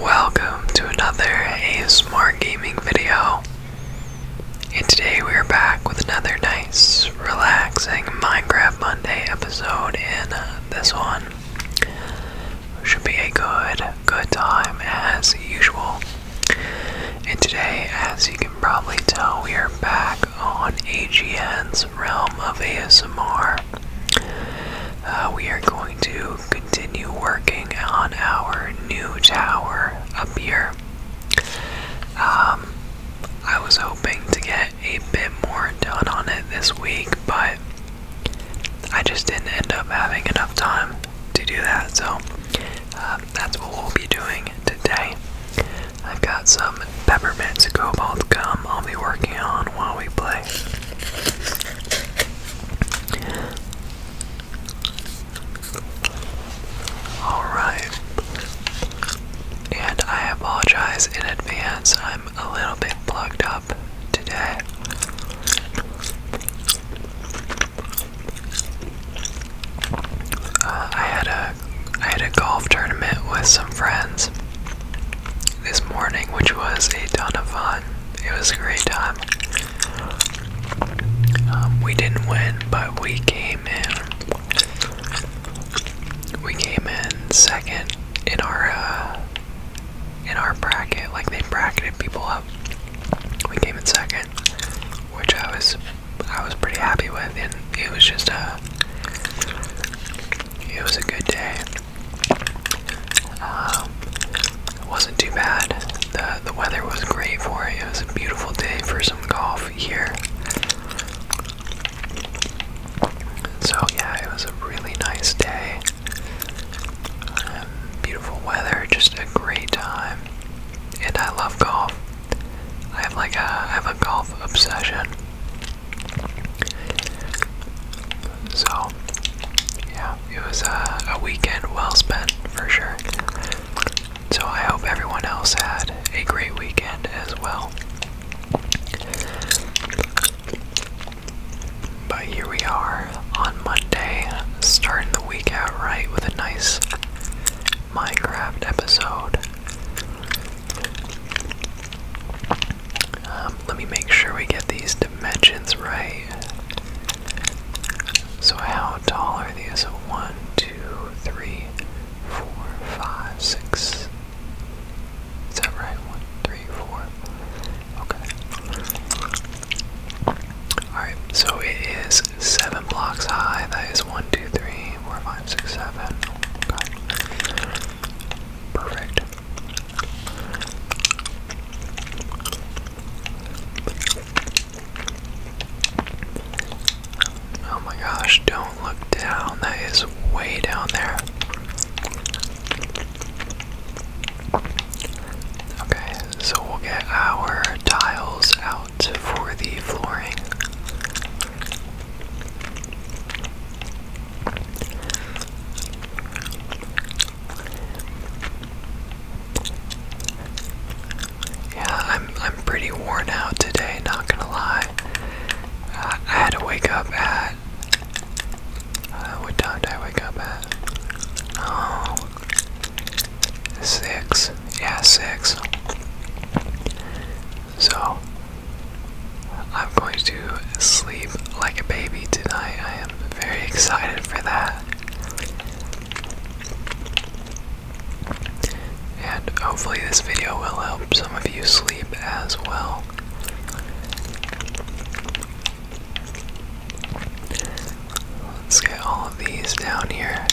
Welcome to another A Smart gaming video. And today we are back with another nice, relaxing Minecraft Monday episode. In this one should be a good, good time as usual. And today, as you can probably tell, we are back on AGN's realm of ASMR. Uh, we are going to continue working on our new tower up here. Um, I was hoping to get a bit more done on it this week, but I just didn't end up having enough time to do that, so uh, that's what we'll be doing today. I've got some peppermint cobalt gum I'll be working on while we play. Alright. And I apologize in advance, I'm a little bit plugged up today. Uh, I had a I had a golf tournament with some friends this morning, which was a ton of fun. It was a great time. Um, we didn't win, but we came in. We came in second in our uh, in our bracket. Like they bracketed people up. We came in second, which I was I was pretty happy with, and it was just a it was a good day. Um, it wasn't too bad. The, the weather was great for it. It was a beautiful day for some golf here. So, yeah, it was a really nice day. Um, beautiful weather, just a great time. And I love golf. I have like a, I have a golf obsession. So, yeah, it was a, a weekend well spent for sure. So, I hope everyone else had a great weekend as well. But here we are on Monday, starting the week out right with a nice Minecraft episode. Um, let me make sure we get these dimensions right. So, how tall are these? 1, 2, 3, 4, 5, 6. Is that right? 1, 3, 4. Okay. Alright, so it is 7 blocks high. That is 1, 2, 3, 4, 5, 6, 7. Perfect. Oh my gosh, don't look down. That is way down there. Okay, so we'll get our tiles out for the flooring. Yeah, I'm I'm pretty worn out today, not gonna lie. Uh, I had to wake up at uh, what time did I wake up at? Oh, six. Yeah, six. So I'm going to sleep like a baby tonight. I am very excited for that. And hopefully, this video will help some of you sleep as well. Let's get all of these down here.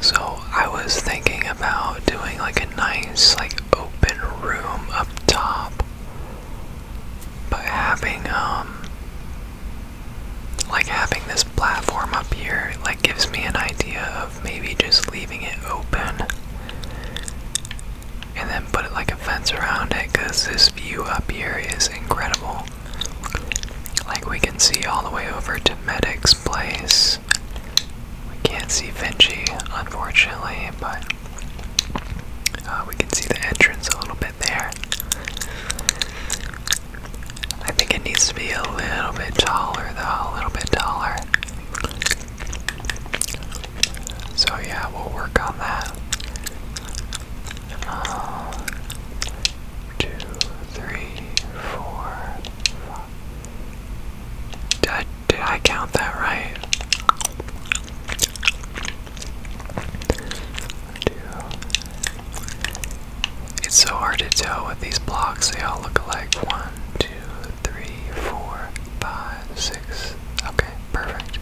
So I was thinking about doing like a nice, like open room up top, but having um, like having this platform up here, like gives me an idea of maybe just leaving it open, and then put like a fence around it, cause this view up here is incredible. Like we can see all the way over to Medics place. We can't see Vinci, unfortunately, but uh, we can see the entrance a little bit there. I think it needs to be a little bit taller, though, a little bit taller. So, yeah, we'll work on that. Uh, did I, count that right? It's so hard to tell with these blocks, they all look like One, two, three, four, five, six. Okay, perfect.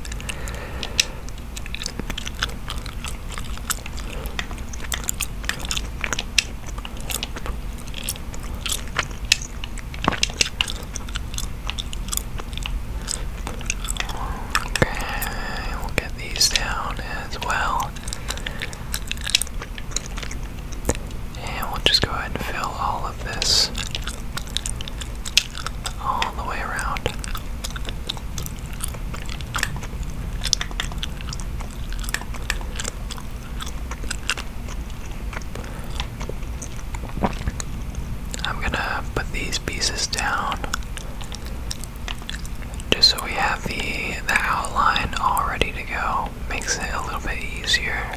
Okay, we'll get these down as well. And we'll just go ahead and fill all of this all the way around. I'm gonna put these pieces down just so we have the the outline all ready to go. Makes it a little bit easier.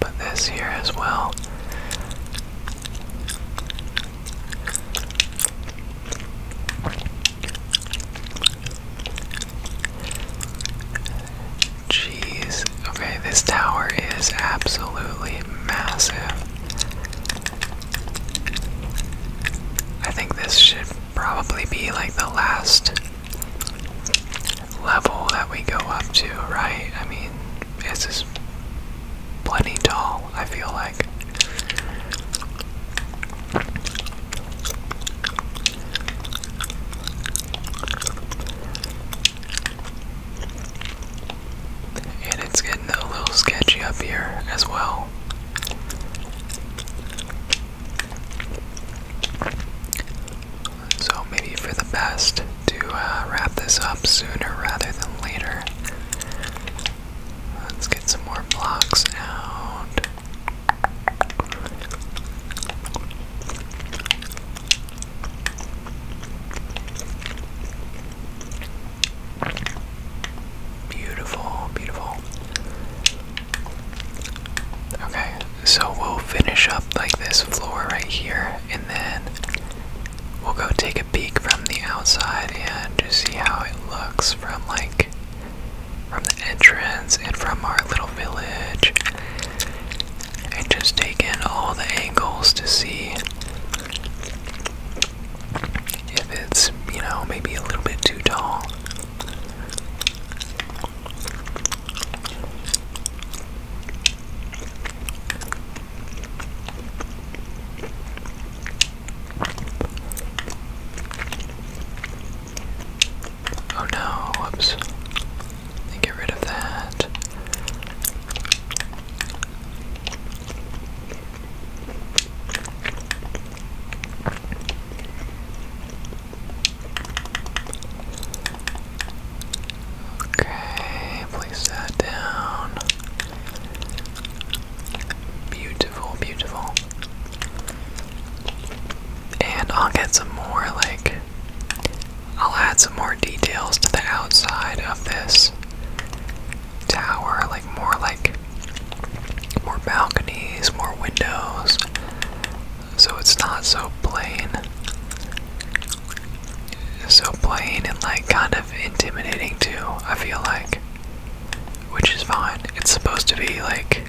put this here as well. Jeez. Okay, this tower is absolutely massive. I think this should probably be like the last level that we go up to, right? I mean, this is plenty tall. I feel like. And it's getting a little sketchy up here as well. So, maybe for the best to uh, wrap this up sooner rather than later. Let's get some more blocks out. Beautiful, beautiful. Okay, so we'll finish up like this floor right here, and then we'll go take a peek from the outside and just see how it looks from like from the entrance and from our little village and just take in all the angles to see if it's, you know, maybe a little bit too tall. Oh no, whoops. get rid of that. Okay, place that down. Beautiful, beautiful. And I'll get some more, like, I'll add some more details to the outside of this tower, like more like more balconies, more windows, so it's not so plain. So plain and like kind of intimidating too, I feel like which is fine. It's supposed to be like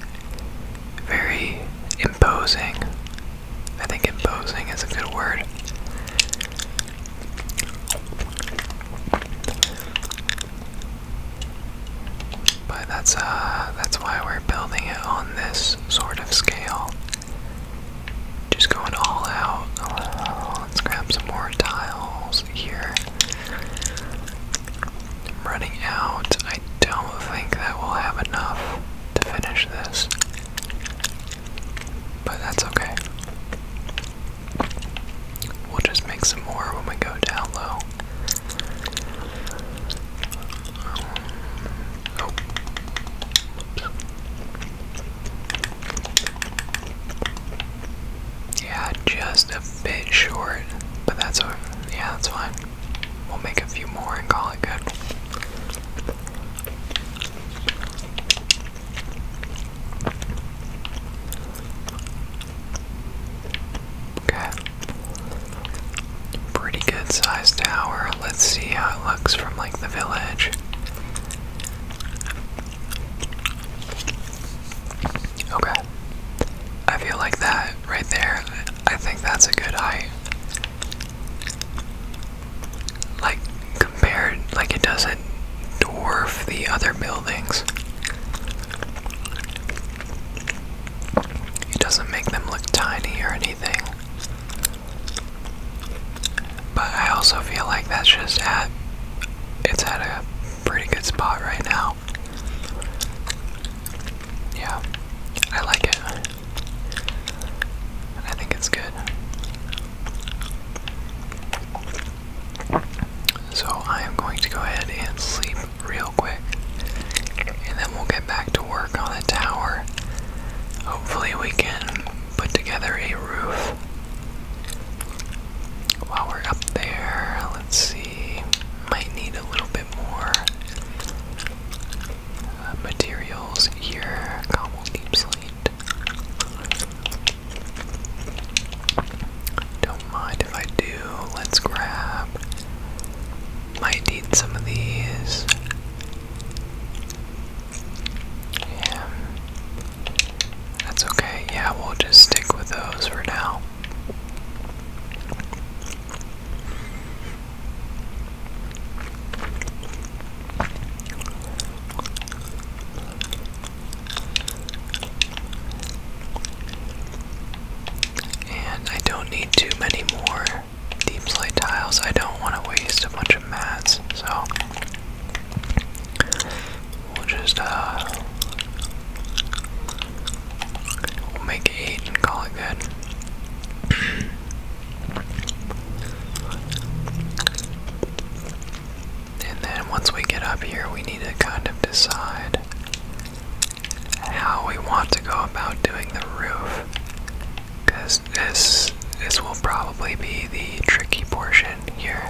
very imposing. I think imposing is a good word. But that's uh that's why we're building it on this sort of scale. Just going all out. let's grab some more tiles here. I'm running out. I don't think that we'll have enough to finish this. But that's okay. We'll just make some more when we go down low. Yeah, just a bit short, but that's Yeah, that's fine. We'll make a few more and call it good. Okay. Pretty good sized tower. Let's see how it looks from like the village. Okay. I feel like that right there, I think that's a good height. Like, compared, like, it doesn't dwarf the other buildings. It doesn't make them look tiny or anything. But I also feel like that's just at, it's at a pretty good spot right now. Yeah, I like it. I think it's good. So I am going to go ahead and sleep real quick. And then we'll get back to work on the tower. Hopefully, we can put together a roof while we're up there, let's see. Might need a little bit more uh, materials here. Cobble oh, deep slate. Don't mind if I do. Let's grab. Might need some of these. Yeah. That's okay. Yeah, we'll just stick with those for now. And I don't need too many more deep slate tiles. I don't want to waste a bunch of mats, so We'll just, uh, we'll make 8 and call it good. and then once we get up here, we need to kind of decide how we want to go about doing the roof. Because this, this will probably be the tricky portion here.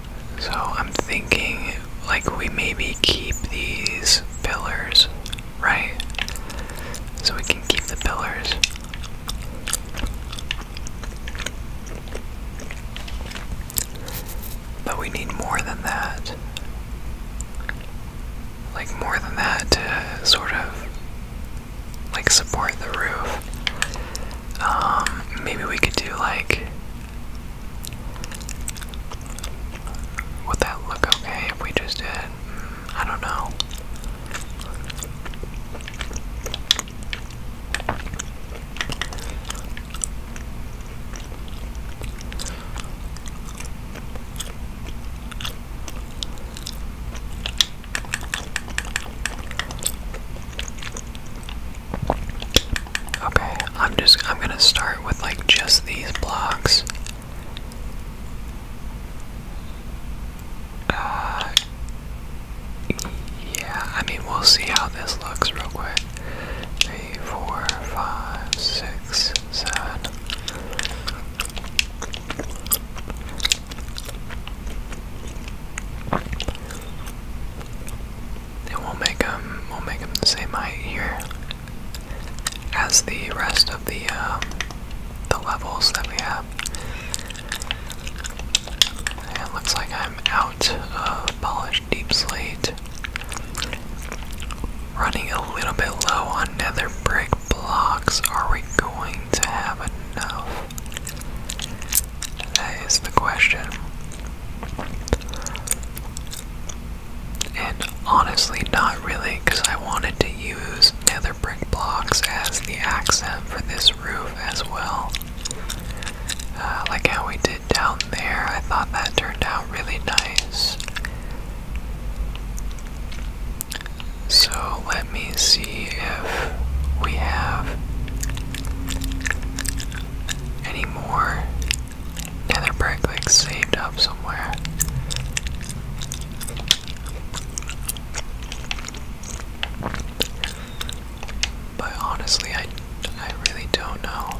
So I'm thinking like we maybe keep these pillars, right? So we can keep the pillars. But we need more than that. Like more than that to sort of like support the roof. Um, maybe we could do like would that look okay if we just did? Mm, I don't know. Okay, I'm just I'm gonna start with like just these blocks. Uh yeah, I mean we'll see how this looks real quick. Three, four, five, six, seven. And we'll make them, we'll make them the same height here as the rest of the um, the levels that we have. it looks like I'm out of polished deep slate. Running a little bit low on nether brick blocks. Are we going to have enough? That is the question. And honestly, not really, because I wanted to use nether brick blocks as the accent for this roof as well. Uh, like how we did down there, I thought that turned out really nice. So let me see if we have any more nether brick like saved up somewhere. But honestly, I, I really don't know.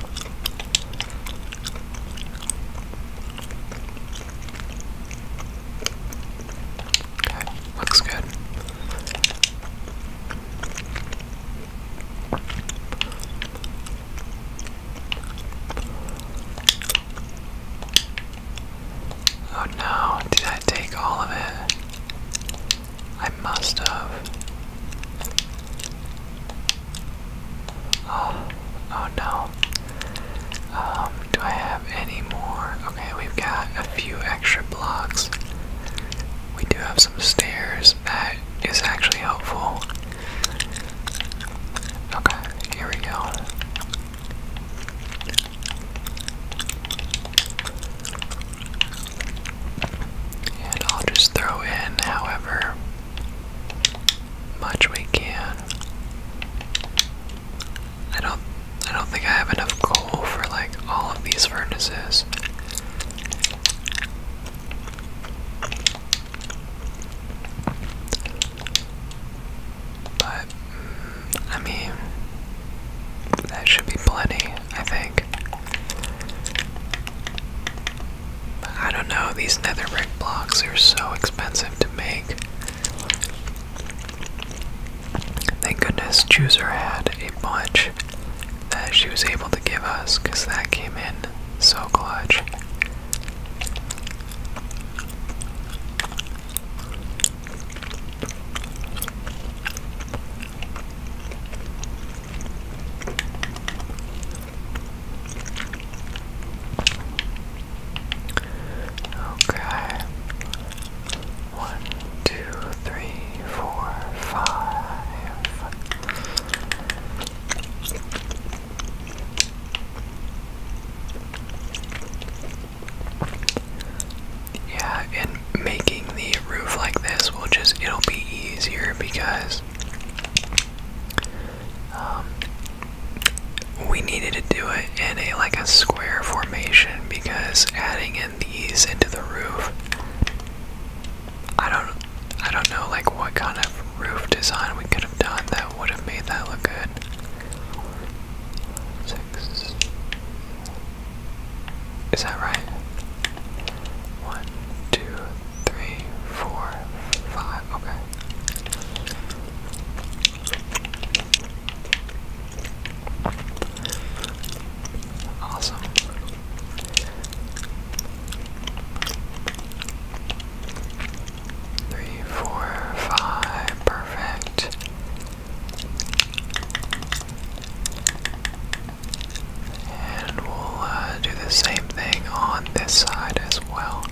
Okay, looks good. Oh no, did I take all of it? I must have. Oh, oh no. Um, do I have any more? Okay, we've got a few extra blocks we do have some stairs that is actually helpful. Okay, here we go. And I'll just throw in however much we can. I don't I don't think I have enough coal for like all of these furnaces. But, mm, I mean, that should be plenty, I think. I don't know, these nether brick blocks are so expensive to make. Thank goodness Chooser had a bunch that she was able to give us because that came in so clutch. Okay. One, two, three, four, five. Yeah, and making the roof like this will just, it'll be easier because um, we needed to do it in a like a square formation because adding in these into the roof, I don't I don't know like what kind of roof design we could have done that would have made that look good. Six. Is that right? One, two, three, four, five. Okay. Awesome. Three, four, five, perfect. And we'll uh, do the same thing on this side as well.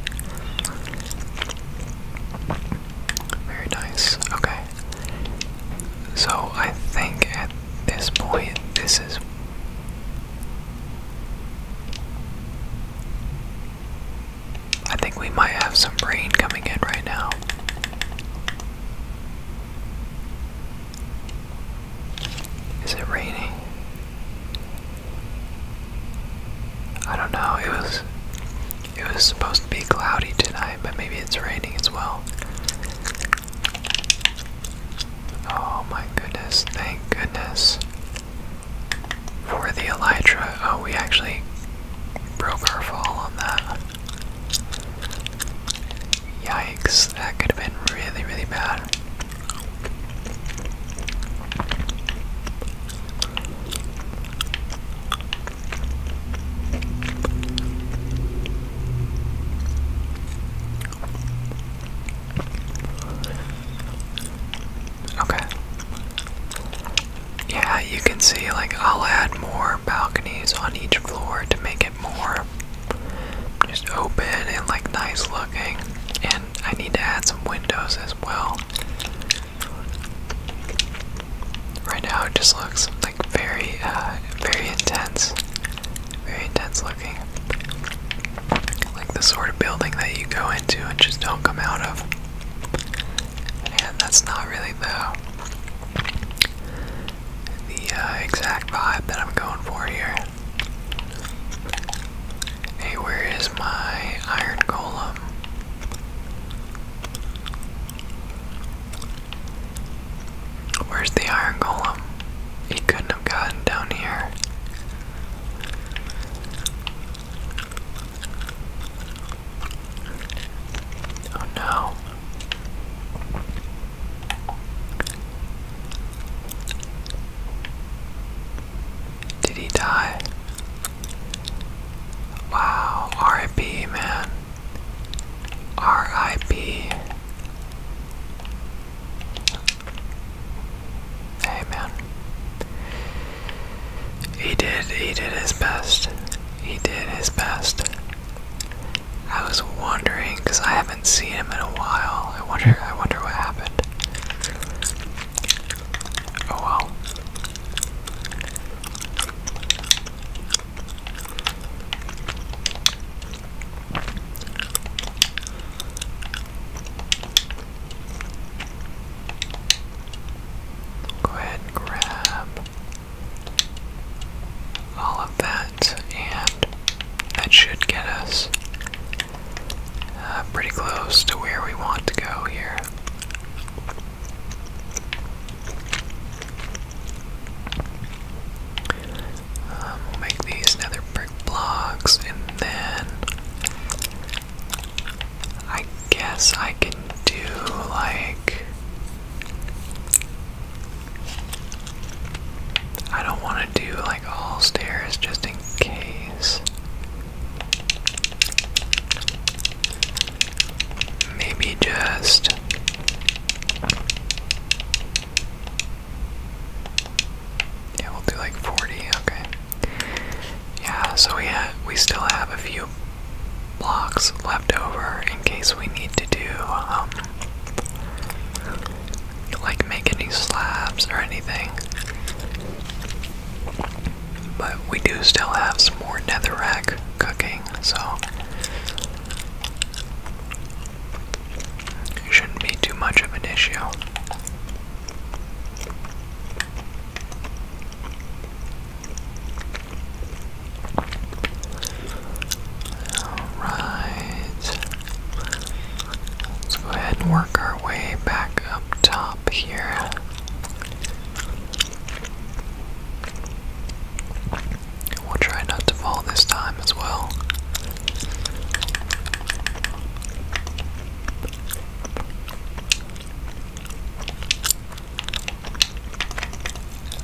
Very nice. Okay. So I think at this point, this is I think we might have some rain coming in right now. Is it raining? I don't know. It was it was supposed to be cloudy tonight, but maybe it's raining as well. Oh my goodness, thank goodness for the Elytra. Oh, we actually broke our fall on that. Yikes, that could have been really, really bad. Okay. Yeah, you can see, like, I'll add more balconies on each floor to make it more just open and, like, nice looking. And I need to add some windows as well. Right now it just looks, like, very, uh, very intense very intense looking. Like the sort of building that you go into and just don't come out of. And that's not really the uh, exact vibe that I'm going for here. Hey, where is my iron golem? Where's the iron golem? He couldn't have gotten down here. Oh no. Did he die? Wow, RIP, man. RIP. Hey man. He did he did his best. He did his best. I was wondering because I haven't seen him in a while. I wonder I wonder what happened. Oh well. Go and grab all of that, and that should get us uh, pretty close to where we want to go here. Um, make these nether brick blocks, and then I guess I can do like. I don't want to do like all stairs just in case. Maybe just yeah, we'll do like 40, okay. Yeah, so we we still have a few blocks left over in case we need to do um like make any slabs or anything. But we do still have some more netherrack cooking, so shouldn't be too much of an issue. Alright. Let's go ahead and work our way back up top here. We'll try not to fall this time as well.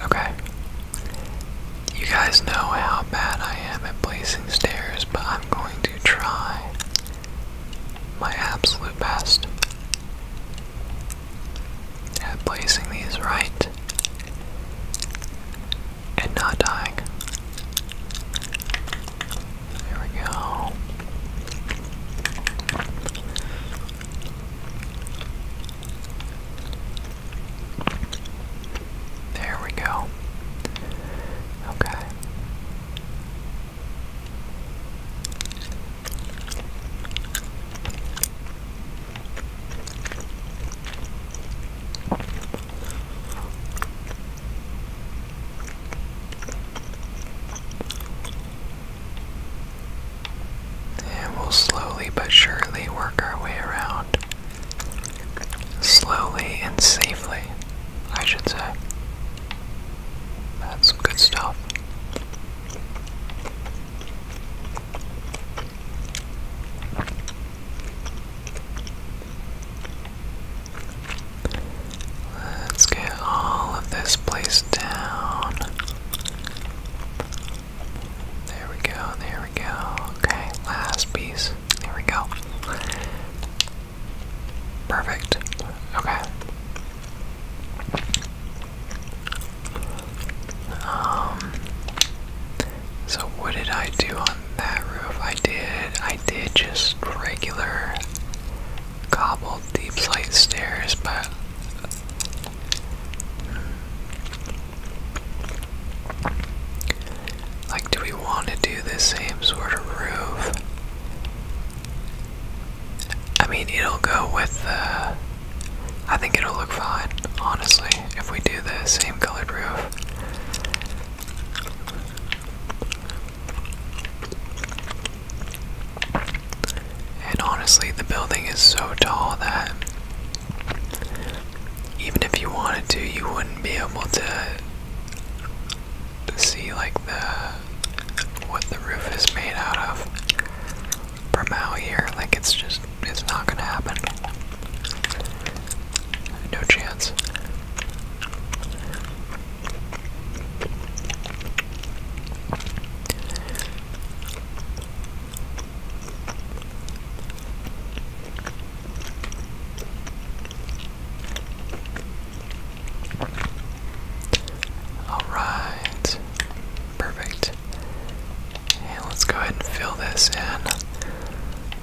Okay. You guys know how bad I am at placing stairs, but I'm going to try my absolute best at placing these right and not dying. There we go. There we go. Okay. And we'll slowly but surely work our way around. Slowly and safely, I should say. That's good stuff. Let's get all of this place down. There we go, there we go. Okay, last piece. There we go. Perfect. Okay. Um so what did I do on that roof? I did I did just regular cobbled deep slate stairs, but like do we want to do the same sort of roof? I mean, it'll go with the I think it'll look fine, honestly, if we do the same colored roof. And honestly, the building is so tall that even if you wanted to, you wouldn't be able to see like the what the roof is made out of from out here. Like it's just it's not gonna happen. No chance. All right, perfect. let's go ahead and fill this in.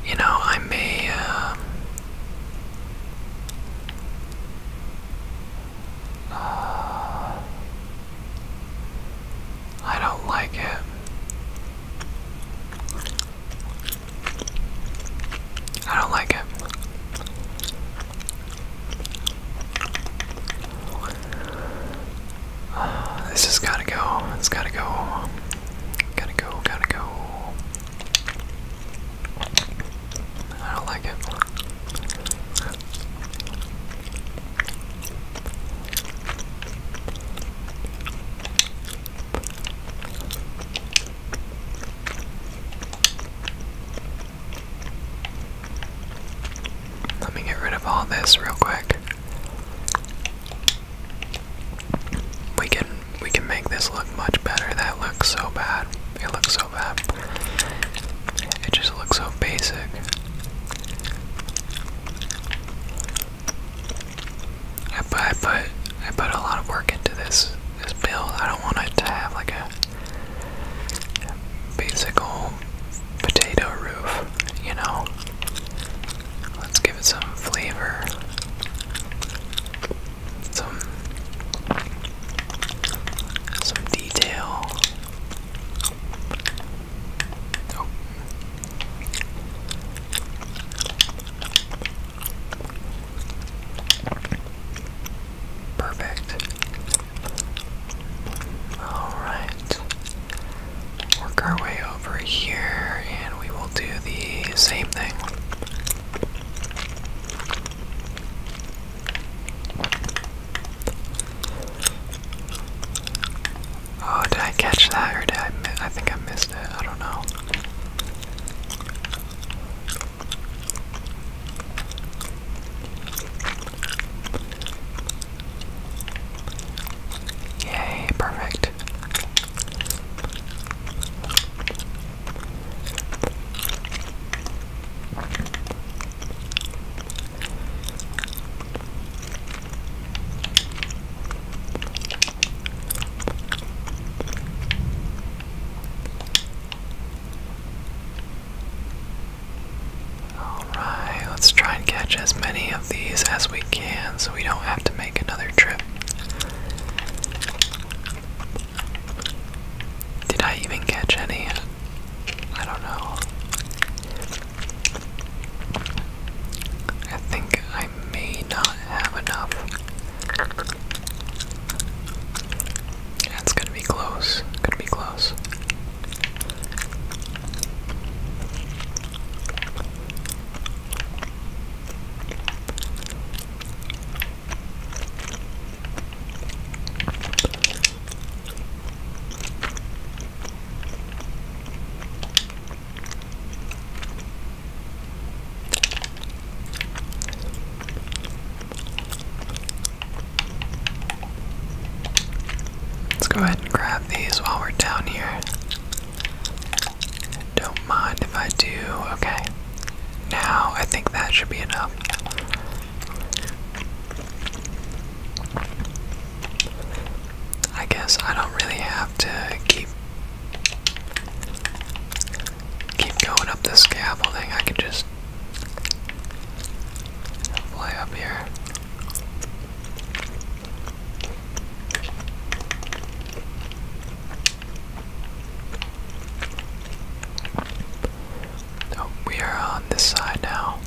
You know, I may um, I don't like it. I don't like it. Uh, this has gotta go. It's gotta go. Gotta go, gotta go. I don't like it. Let me get rid of all this real quick. We can we can make this look much better. That looks so bad. It looks so bad. It just looks so basic. I put I put a lot of work into this this build. I don't want it to have like a basic old potato roof, you know. Let's give it some flavor some some detail. Perfect. Alright. Work our way over here and we will do the same thing. Oh, did I catch that or did I I think I missed it. I don't know. Yay, perfect. Alright, let's try and catch as many of these as we can so we don't have to make another trip. Did I even catch any? I don't know. I think I may not have enough. It's gonna be close. Gonna be close. Let's go ahead and grab these while we're down here. Don't mind if I do. Okay. Now I think that should be enough. I guess I don't really have to keep keep going up this scaffolding. I could just play up here. Oh, we are on this side now.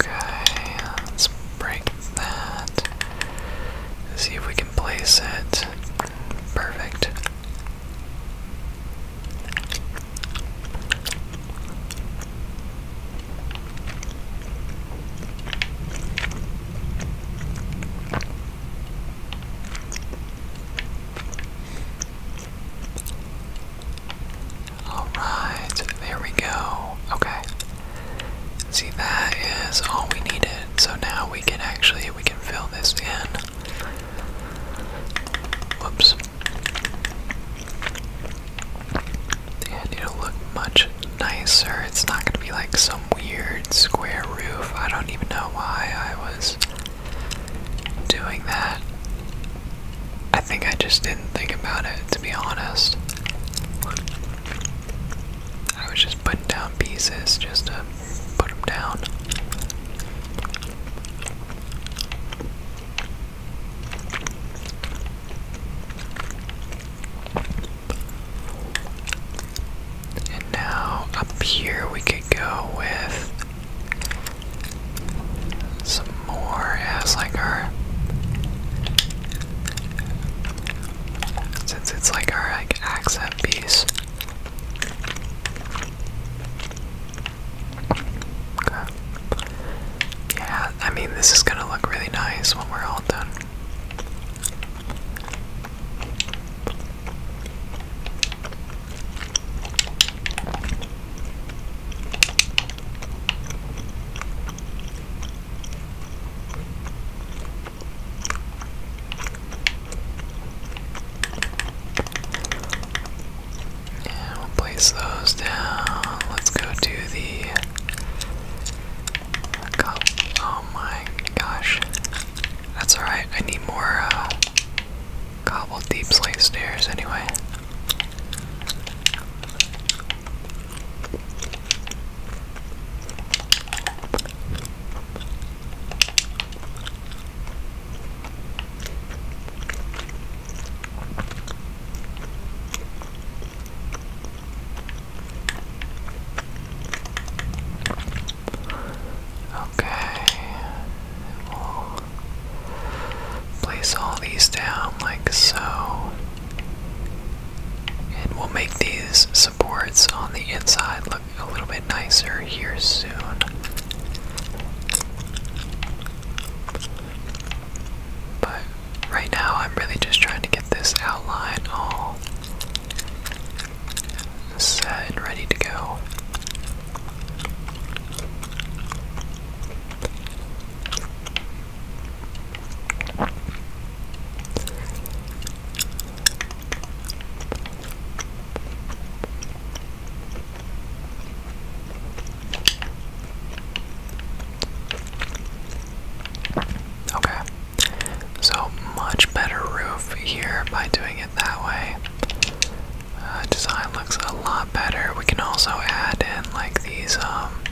Okay, let's break that. See if we can place it. Perfect. All right, there we go. Okay. See, that is all we needed. So now we can actually we can fill this in. Whoops. And it'll look much nicer. It's not gonna be like some weird square roof. I don't even know why I was doing that. I think I just didn't think about it, to be honest. I was just putting down pieces just to put them down. And now up here we could go with some more as like our since it's like our like accent piece. Okay. Yeah, I mean this is gonna look really nice when we're all done. And we'll place those down. Let's go to the cup. Oh my gosh. That's alright, I need more uh, cobble deep slate stairs anyway. Okay. We'll place all these down like so. And we'll make these supports on the inside look a little bit nicer here soon. But right now I'm really just trying to get this outline all set ready to go. Okay. So much better roof here by doing it that way. Uh, design looks a lot better. We can also add in like these um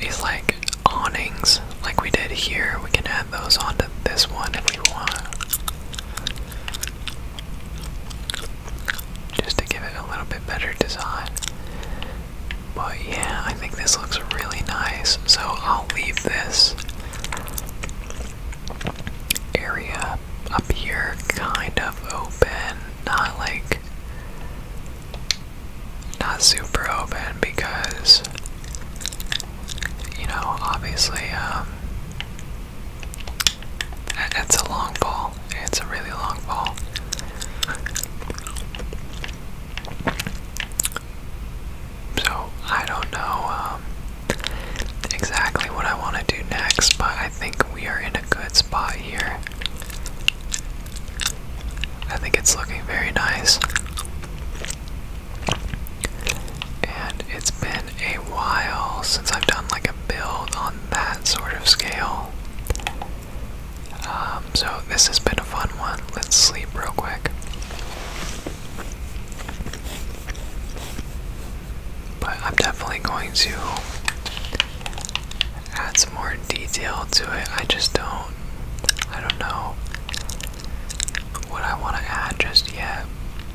these like awnings like we did here. We can add those onto this one if we want. Just to give it a little bit better design. But yeah, I think this looks really nice, so I'll leave this area up here kind of open, not like not super open because you know, obviously, um, it's a long ball. It's a really long ball. So I don't know um, exactly what I want to do next, but I think we are in a good spot here. I think it's looking very nice. And it's been a while since I've done like a build on that sort of scale. Um, so this has been a fun one. Let's sleep real quick. But I'm definitely going to add some more detail to it. I just don't I don't know what I want to add just yet.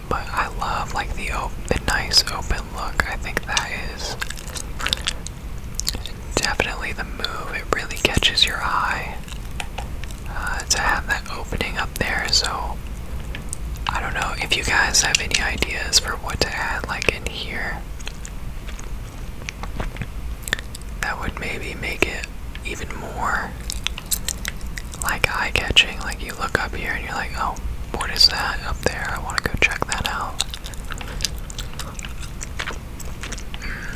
But I love like the op the nice open look. I think that is definitely the move. It really catches your eye uh, to have that opening up there. So I don't know if you guys have any ideas for what to add, like in here. That would maybe make it even more like eye catching. Like you look up here and you're like, oh, what is that up there? I want to go check that out. Hmm.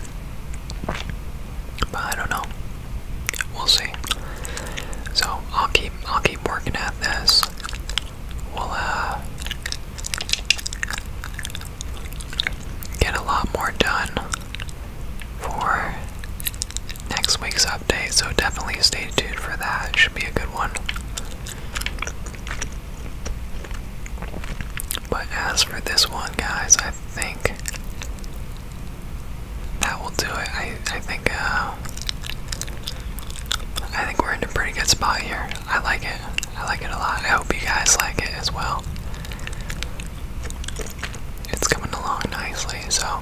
I don't know. We'll see. So I'll keep I'll keep working at this. We'll uh, get a lot more done for next week's update, so definitely stay tuned for that. It should be a good one. But as for this one, guys, I think that will do it. I I think uh, I think we're in a pretty good spot here. I like it. I like it a lot. I hope you guys like it as well. It's coming along nicely, so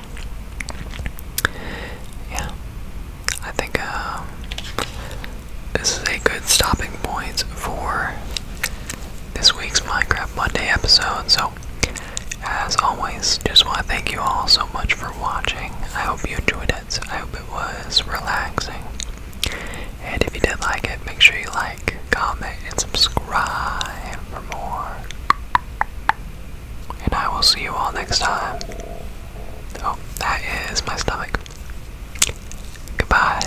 yeah. I think uh, this is a good stopping point for this week's Minecraft Monday episode. So as always, just want to thank you all so much for watching. I hope you enjoyed it. I hope it was relaxing. And if you did like it, make sure you like, comment, and subscribe for more. And I will see you all next time. Oh, that is my stomach. Goodbye.